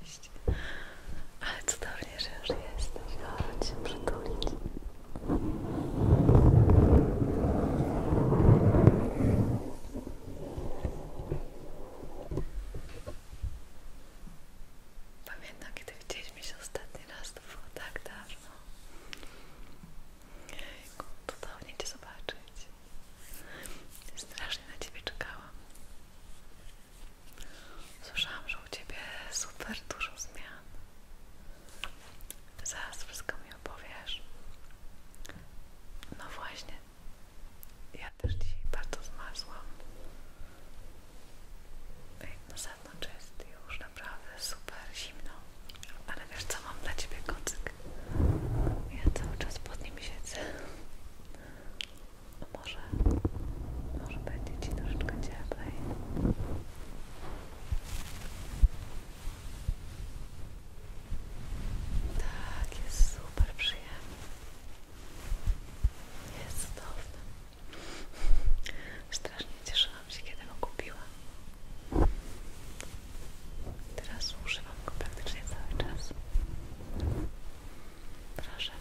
Cześć. Ale cudownie, że już jesteś. Chodź się przytulić. Pamiętam, kiedy widzieliśmy się ostatni raz, to było tak dawno. Jejku, cudownie Cię zobaczyć. Strasznie na Ciebie czekałam. Słyszałam, że u Ciebie super dużo zmian. Zaraz wszystko mi opowiesz. No właśnie. Ja też dzisiaj bardzo zmarzłam. Na zewnątrz jest już naprawdę super zimno. Ale wiesz co, mam dla Ciebie kocyk. Tak. Ja cały czas pod nim siedzę. No może, może będzie ci troszeczkę cieplej. Tak, jest super przyjemny. Jest cudowny. Strasznie cieszyłam się, kiedy go kupiłam. Teraz używam go praktycznie cały czas. Proszę.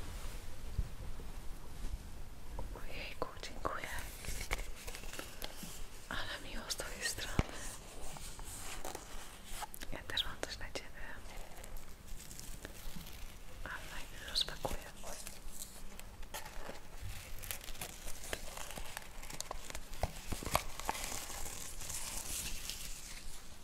Ojejku, dziękuję. Ale miło z twojej strony. Ja też mam coś na ciebie. Ale nie rozpakuję.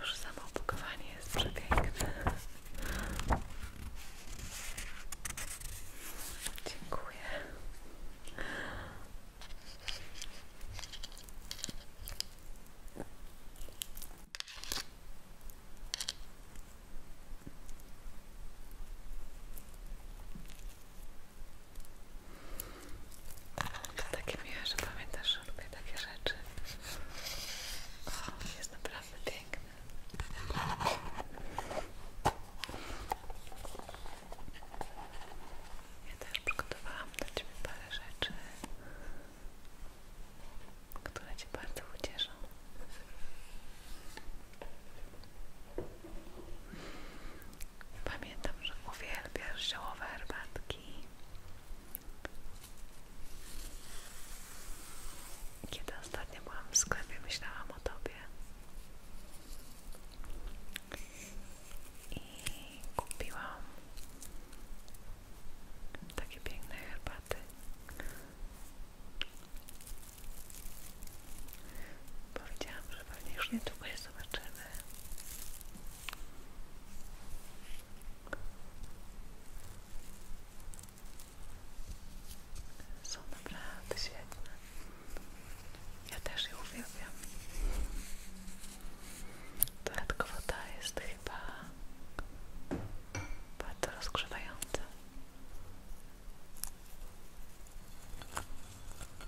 Już samo opakowanie jest przepiękne. Dziękuję. Takie miłe, że pamiętasz, że lubię takie rzeczy. O, jest naprawdę piękne. Ja też przygotowałam dla Ciebie parę rzeczy, które Cię bardzo ucieszą. Pamiętam, że uwielbiasz ziołowe herbatki. Kiedy ostatnio byłam w sklepie, myślałam o tobie. I kupiłam takie piękne herbaty. Powiedziałam, że pewnie już niedługo je zobaczymy. Są naprawdę świetne. Ja też je uwielbiam. Dodatkowo ta jest chyba bardzo rozgrzewająca.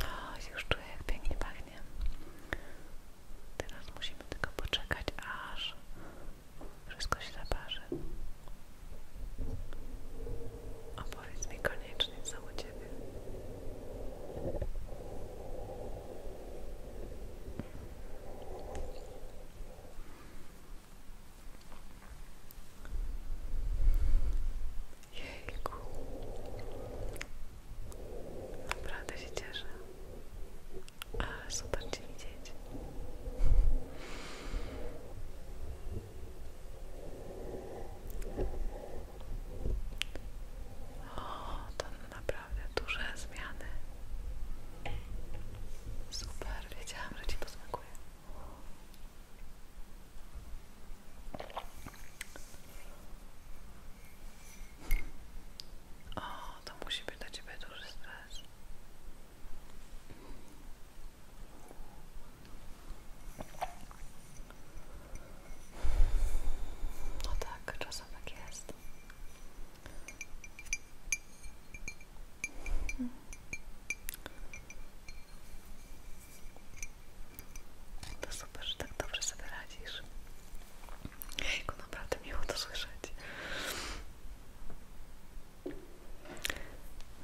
O, już czuję, jak pięknie pachnie. Teraz musimy tylko poczekać, aż wszystko się zaparzy. Opowiedz mi koniecznie, co u Ciebie. Naprawdę się cieszę. A, super Cię O, to naprawdę duże zmiany. Super, wiedziałam, że Ci posmakuje. O, to musi być dla Ciebie duży stres. No tak, czasem tak jest. To super, że tak dobrze sobie radzisz. Jejku, naprawdę miło to słyszeć.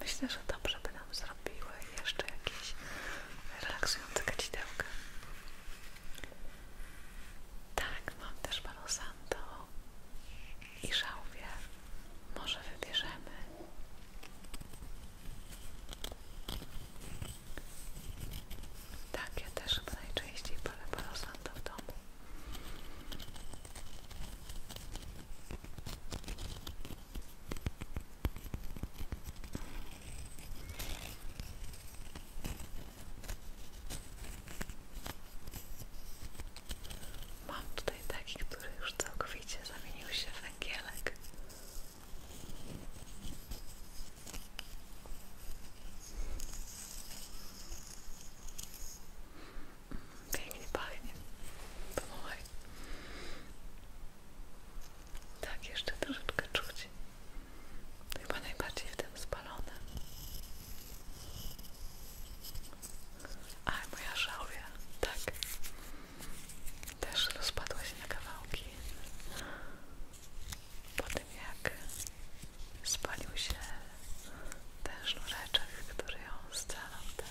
Myślę, że dobrze by nam zrobiły jeszcze jakieś relaksujące kacidełka. Tak, mam też palosanto i żałwie. Może wybierzemy. Tak, ja też chyba najczęściej palę parasanta w domu. Mam tutaj taki, który już całkowicie zamienił się w węgielek. Pięknie pachnie. Pomogaj. Tak, jeszcze troszeczkę czuć. Chyba najbardziej w tym spalone. A moja żałwia, tak. Też rozpadła się na kawałki po tym jak spalił się ten sznureczek, który ją scalał, tak?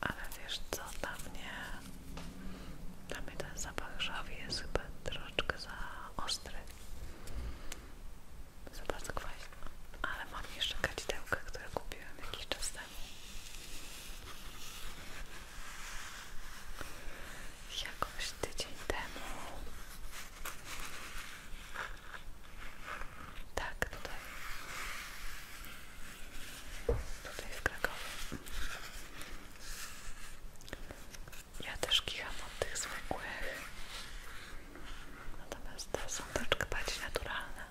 Ale wiesz co, dla mnie, dla mnie ten zapach żawi jest chyba troszeczkę za ostry. Za bardzo kwaśny. Ale mam jeszcze kadzidełkę, które kupiłem jakiś czas temu. Jakoś tydzień temu. Tak, tutaj. Tutaj w Krakowie. Ja też kicham od tych zwykłych. Natomiast to są troszkę bardziej naturalne.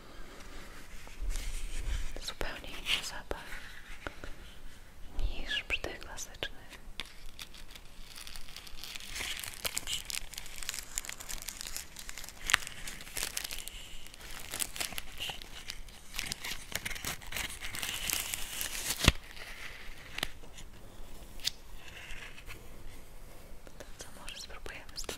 Zupełnie inny niż przy tych klasycznych. To co może spróbujemy z tym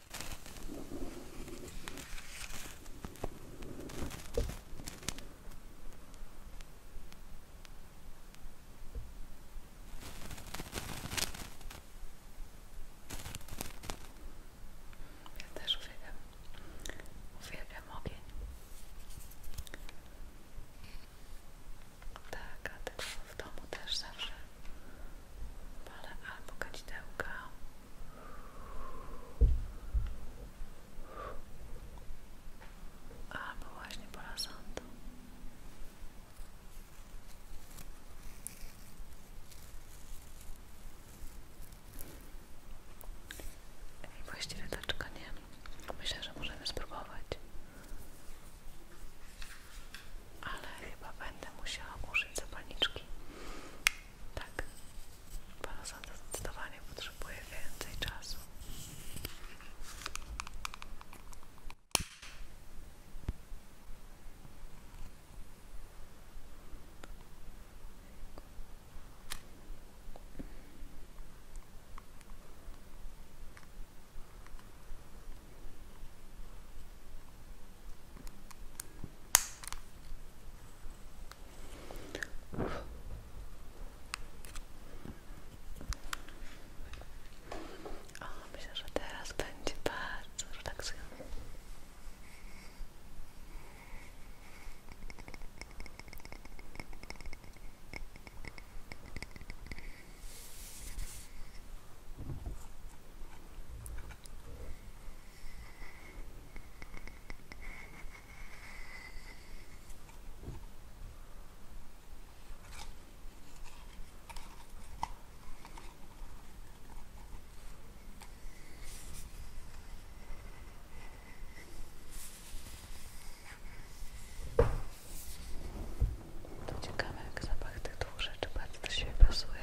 Ja też uwielbiam, uwielbiam ogień. Tak, a tego w domu też zawsze Palę albo kadzidełka. Albo właśnie pola sądu. I właściwie taczka nie. Myślę, że możemy spróbować. Ale chyba będę musiała użyć zapalniczki. Tak, Panosanto zdecydowanie potrzebuje więcej czasu. O, myślę, że teraz będzie bardzo relaksujące. To ciekawe jak zapach tych dwóch rzeczy bardzo do siebie pasuje.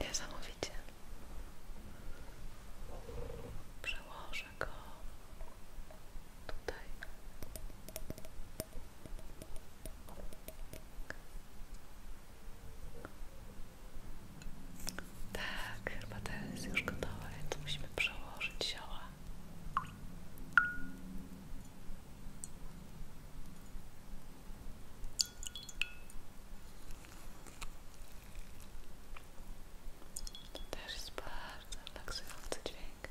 Niesamowicie. Przełożę go tutaj. Tak, chyba jest już gotowe, więc musimy przełożyć zioła. To też jest bardzo relaksujący dźwięk.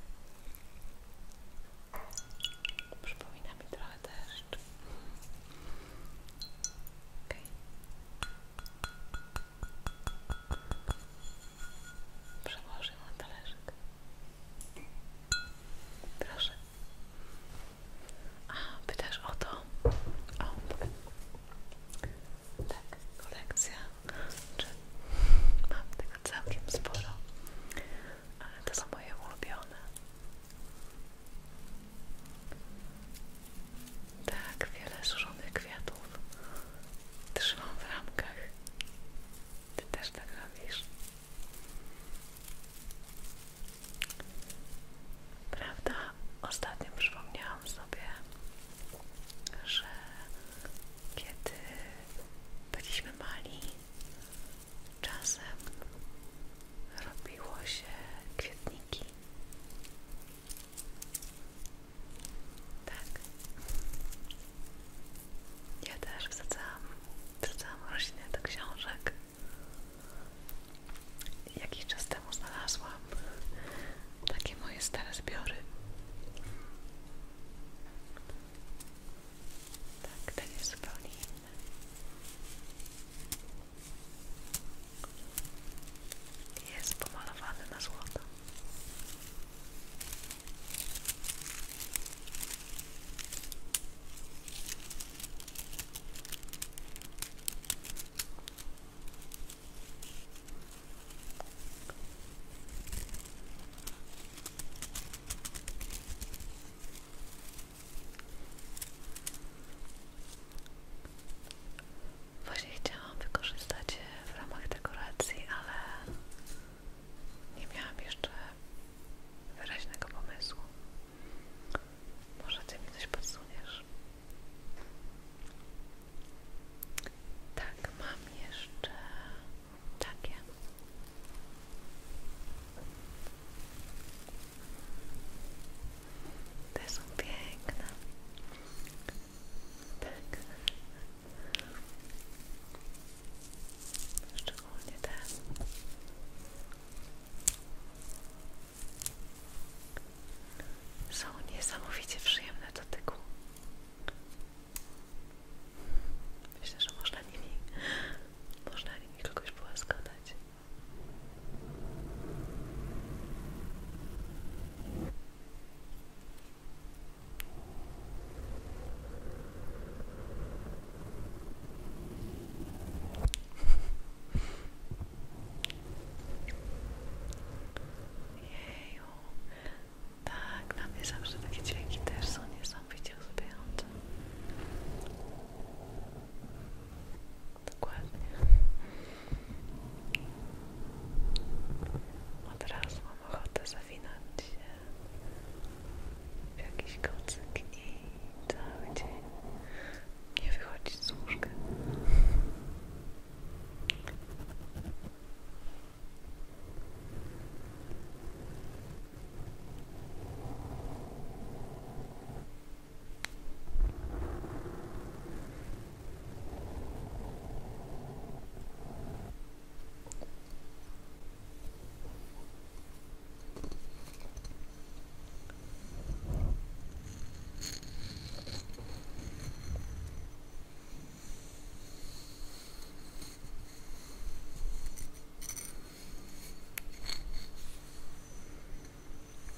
Przypominam mi trochę też. Okay. Przełożę na talerzyk. Proszę. A, pytasz o to? O, tak, kolekcja. mam tego całkiem sporo, ale to są moje ulubione. Tak, wiele suszonych kwiatów trzymam w ramkach. Ty też tak robisz? Prawda? Ostatnio przypomniałam sobie, że kiedy byliśmy mali, czasem robiło się kwietniki. Tak. Ja też wsadzałam, wsadzałam rośliny do książek. Jakiś czas temu znalazłam takie moje stare zbiory. Tak, ten jest zupełnie inny. Jest pomalowany na złoto. Właśnie chciałam wykorzystać w ramach dekoracji, ale nie miałam jeszcze wyraźnego pomysłu. Może ty mi coś podsuniesz? Tak, mam jeszcze takie. Te są piękne. Tak. Jeszcze szczególnie ten. Są niesamowicie przyjemne do tyku. Myślę, że można nimi, można nimi kogoś połaskotać. Jeju. Tak, nam mnie zawsze takie dźwięki też są niesamowicie uzbierające. Dokładnie. Od mam ochotę zawinam się w jakiś kocyk i cały dzień nie wychodzi z łóżka.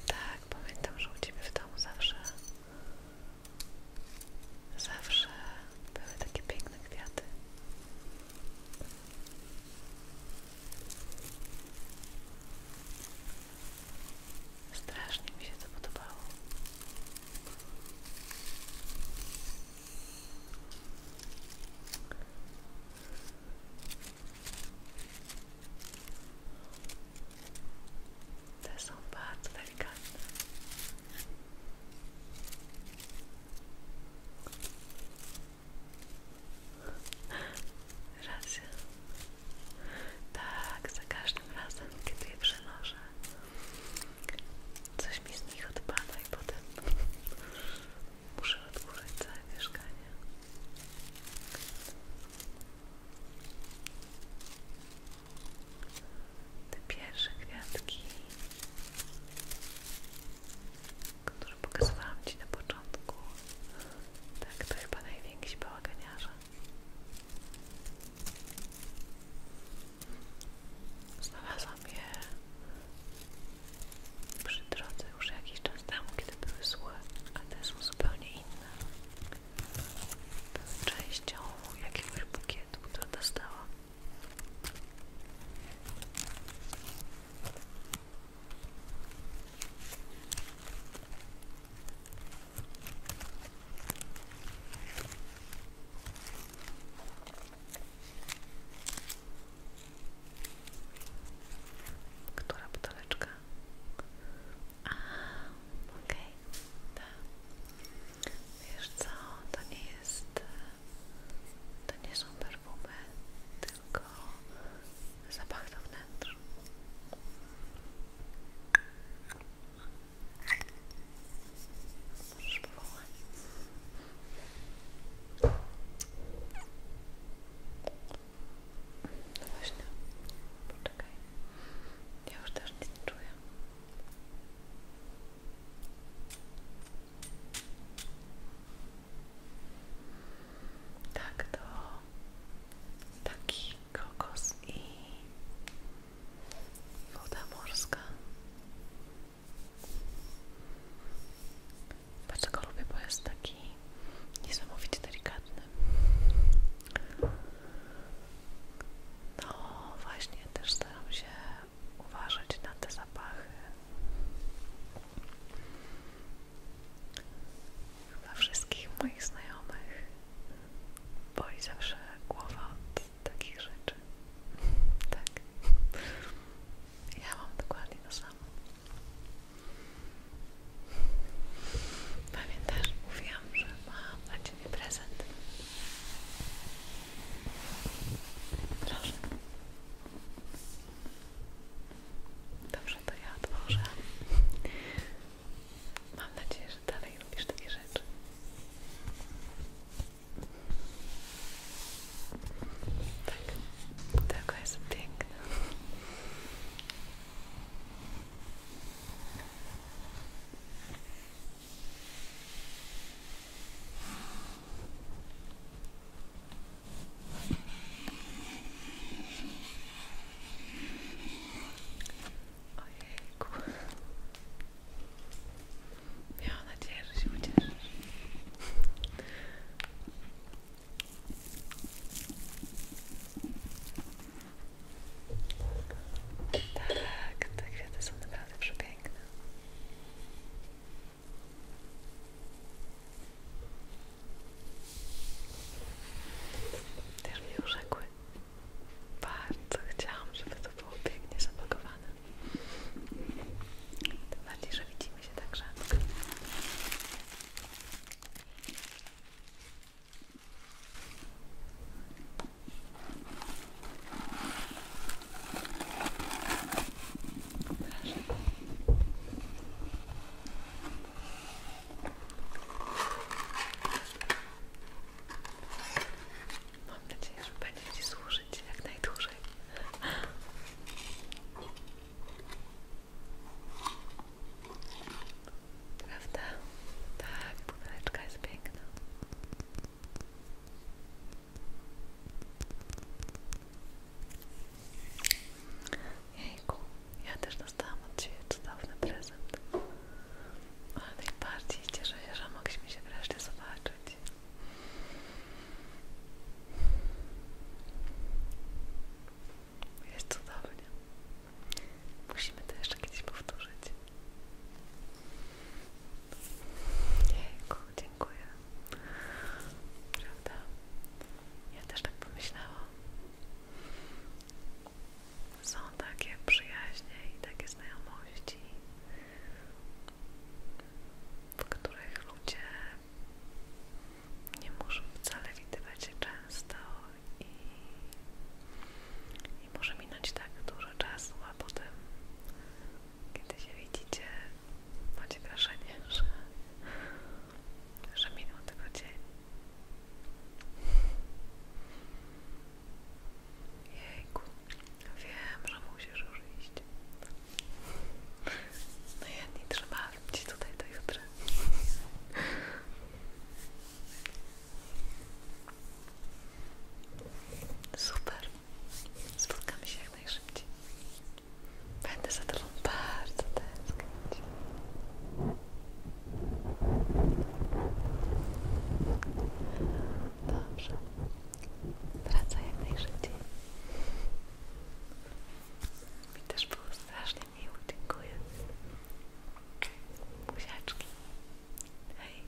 Tak, pamiętam, że u Ciebie w domu zawsze zawsze były takie piękne kwiaty. Strasznie mi się to są bardzo delikatne. Racja. Tak, za każdym razem, kiedy je przenoszę, coś mi z nich odpada i potem muszę odkurzyć całe mieszkanie te pierwsze kwiatki, które pokazywałam Ci na początku. Tak, to chyba najwięksi bałaganiarze. Znalazłam je przy drodze już jakiś czas temu, kiedy były złe, a te są zupełnie inne. Były częścią jakiegoś bukietu, który dostałam która buteleczka? A, okej, okay. tak. Wiesz co, to nie jest, to nie są perfumy, tylko zapach do wnętrza. Możesz powołać. No właśnie, poczekaj. Ja nie czuję. Tak to taki kokos i woda morska. Bardzo go lubię, bo jest taki niesamowicie delikatny. No właśnie, też staram się uważać na te zapachy. Dla wszystkich moich znajomych boli zawsze głowa od takich rzeczy. Tak. Ja mam dokładnie to samo. Pamiętasz, mówiłam, że mam dla Ciebie prezent. Proszę. to ja otworzę. Mam nadzieję, że dalej lubisz takie rzeczy. Tak, tylko jest piękne. Ojejku. Miałam nadzieję, że się ucieszysz. Tak, te kwiaty są naprawdę przepiękne. Też już urzekły. Bardzo chciałam, żeby to było pięknie zapakowane. Tym bardziej, że widzimy się tak rzadko. Mam nadzieję, że będzie Ci służyć jak najdłużej. Prawda? Tak, buteleczka jest piękna. Jejku, ja też dostałam od Ciebie cudowny prezent. Ale najbardziej cieszę się, że mogliśmy się wreszcie zobaczyć. Jest cudownie. Musimy to jeszcze kiedyś powtórzyć. Jejku, dziękuję. Prawda? Ja też tak pomyślałam. Są takie przyjaźnie i takie znajomości, w których ludzie nie muszą wcale widywać się często i i może minąć tak dużo czasu, a potem kiedy się widzicie, macie wrażenie, że, że minął tylko dzień. Jejku, wiem, że musisz już iść. No ja nie trzymam ci tutaj do jutra. Super. Spotkamy się jak najszybciej. Będę za tobą bardzo tęsknić. Dobrze. Wracaj jak najszybciej. Mi też było strasznie miło. Dziękuję. Buziaczki. Hej.